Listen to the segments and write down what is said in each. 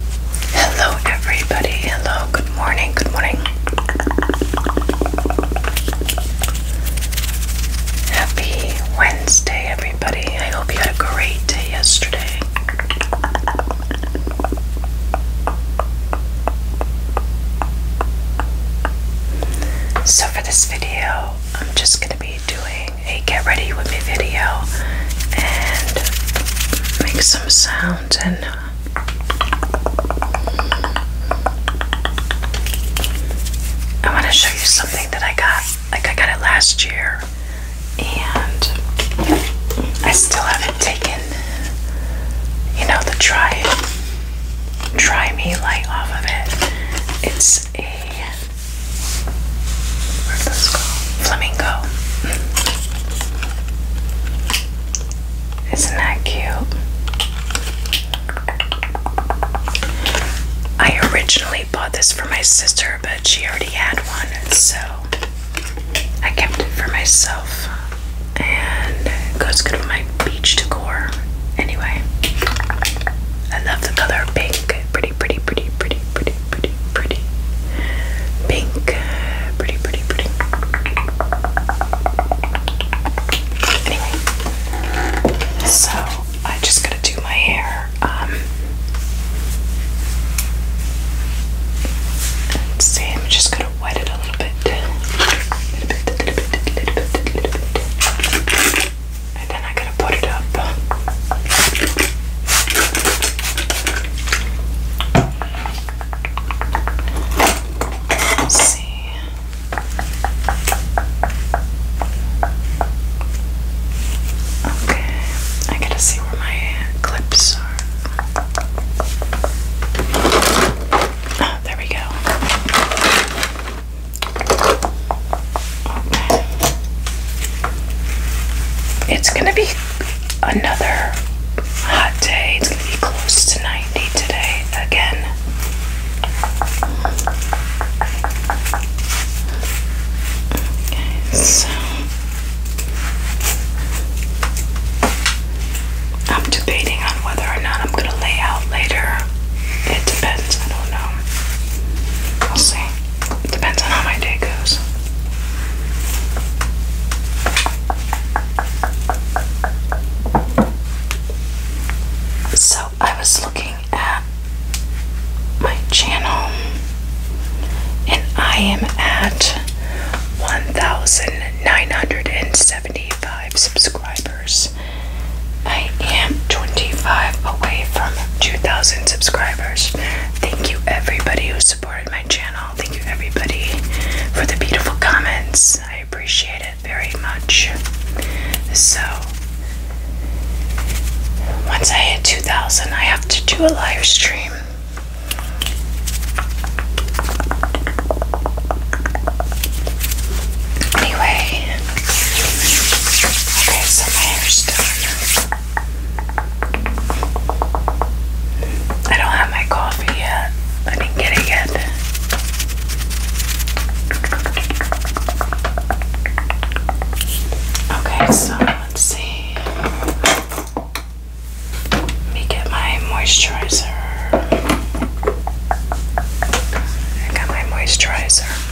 Hello, everybody. Hello, good morning. Good morning. Happy Wednesday, everybody. I hope you had a great day yesterday. So, for this video, I'm just going to be doing a get ready with me video and make some sounds and uh, I want to show you something that I got like I got it last year and I still haven't taken you know the try try me light off of it it's a Flamingo. Isn't that cute? I originally bought this for my sister, but she already had one, so I kept it for myself. And it goes good with my beach decor. Anyway, I love the pink. Pretty pretty, pretty, pretty, pretty, pretty, pretty, pretty pink. Pretty, pretty, pretty. Anyway, so I just gotta do my hair. Um, let's see, I'm just gonna wet it a little bit. A little bit, a little bit, a little bit, a little bit and then I gotta put it up. see. Okay, I gotta see where my clips are. Oh, there we go. It's gonna be another hot day. It's gonna be close to 90 today again. so I'm debating on whether or not I'm gonna lay out later. It depends, I don't know. I'll see. Depends on how my day goes. So I was looking at my channel and I am at 1,975 subscribers. I am 25 away from 2,000 subscribers. Thank you, everybody who supported my channel. Thank you, everybody, for the beautiful comments. I appreciate it very much. So, once I hit 2,000, I have to do a live stream. Anyway, Okay, so my hair's done. I don't have my coffee yet. I didn't it Okay, so let's see. Let me get my moisturizer. I got my moisturizer.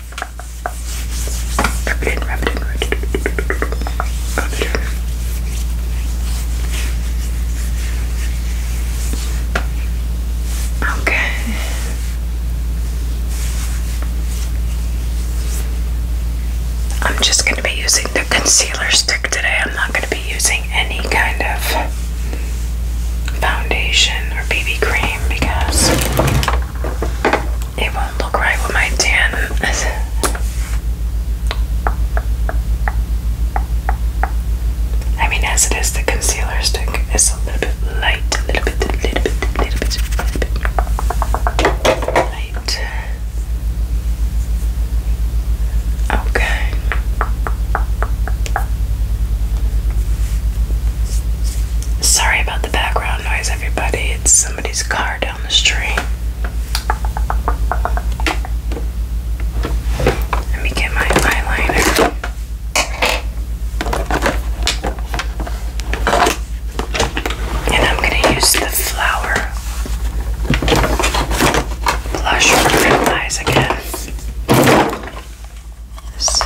Okay. I'm just going to be using the concealer stick today. I'm not going to be using any kind of foundation or BB cream because it won't look right with my tan. I mean, as it is, the concealer stick is a little bit light, a little bit, a little bit, a little bit, a little bit light. Okay. Sorry about the background noise, everybody. It's somebody's car down the street. Let me get my eyeliner. And I'm going to use the flower blush for my eyes again. This.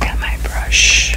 Got my brush.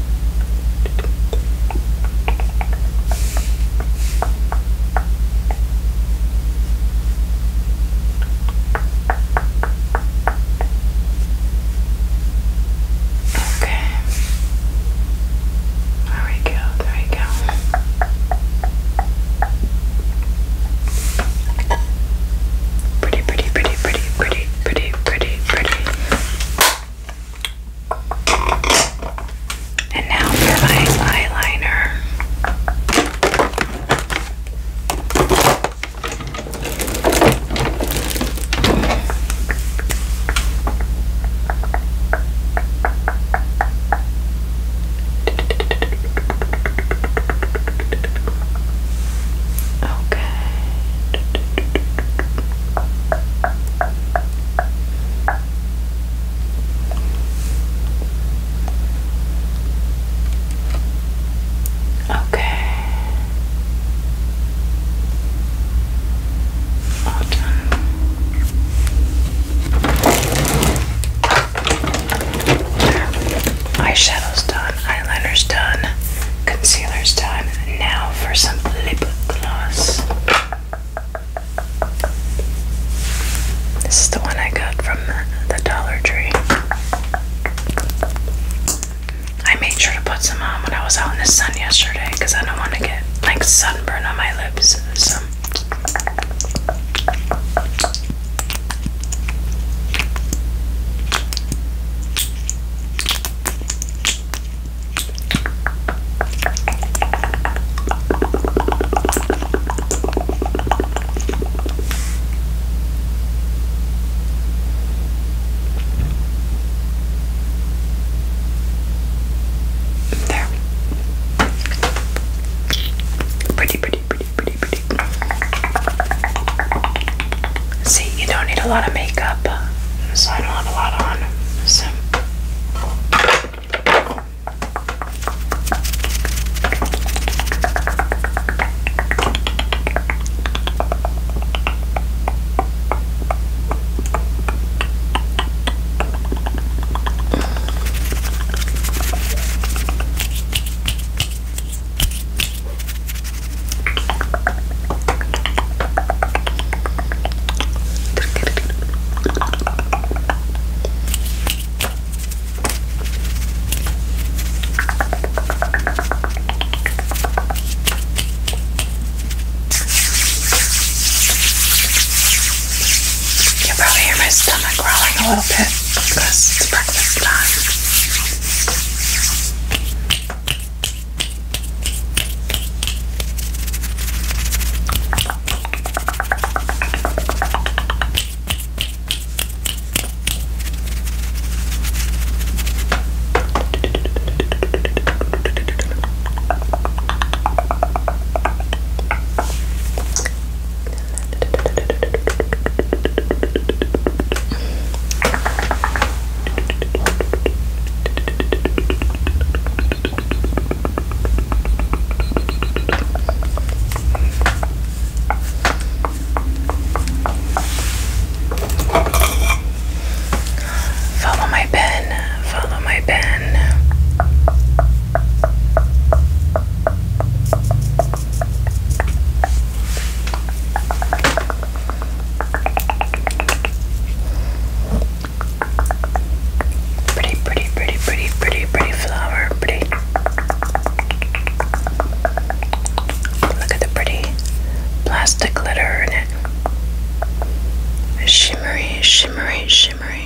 Okay. There we go, there we go. Pretty, pretty, pretty, pretty, pretty pretty, pretty, pretty, And now for my eyeliner. Okay. Okay. All done. Eyeshadows done eyeliner's done, concealer's done. Now for some lip gloss. This is the one I got from the, the Dollar Tree. I made sure to put some on when I was out in the sun yesterday because I don't want to get like sunburn on my lips. So there. Pretty, pretty, pretty, pretty, See, you don't need a lot of makeup, so I don't have a lot on. So. You probably hear my stomach growling a little bit. That's breakfast time. Follow my pen, follow my pen. Pretty, pretty, pretty, pretty, pretty, pretty flower. Pretty. Look at the pretty plastic glitter in it. Shimmery, shimmery, shimmery.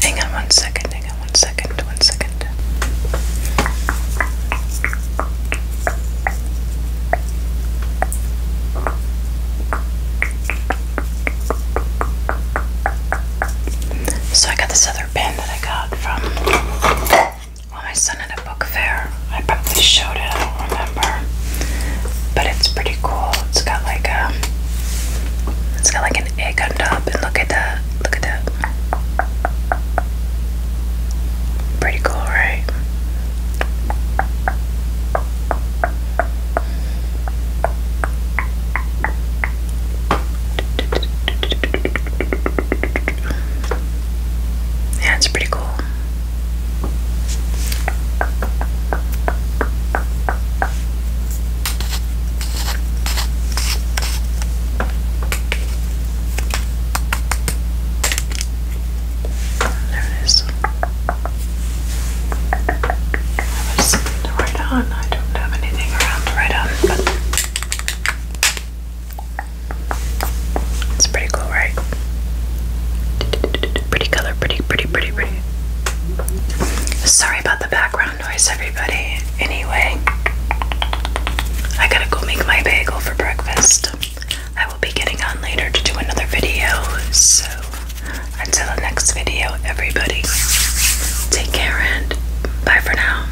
Hang on one second, hang on one second, one second. So I got this other pen that I got from well, my son at a book fair, I probably showed it, I don't remember. But it's pretty cool. It's got like a, um, it's got like an egg on top, and look at that, look at that. Pretty cool, right? Yeah, it's pretty cool. There it is. I was to on. I don't have anything around to on, it's pretty cool, right? Pretty color, pretty, pretty, pretty, pretty. Sorry about the background noise, everybody. Anyway, I gotta go make my bagel for breakfast. I will be getting on later to do another video. So, until the next video, everybody, take care and bye for now.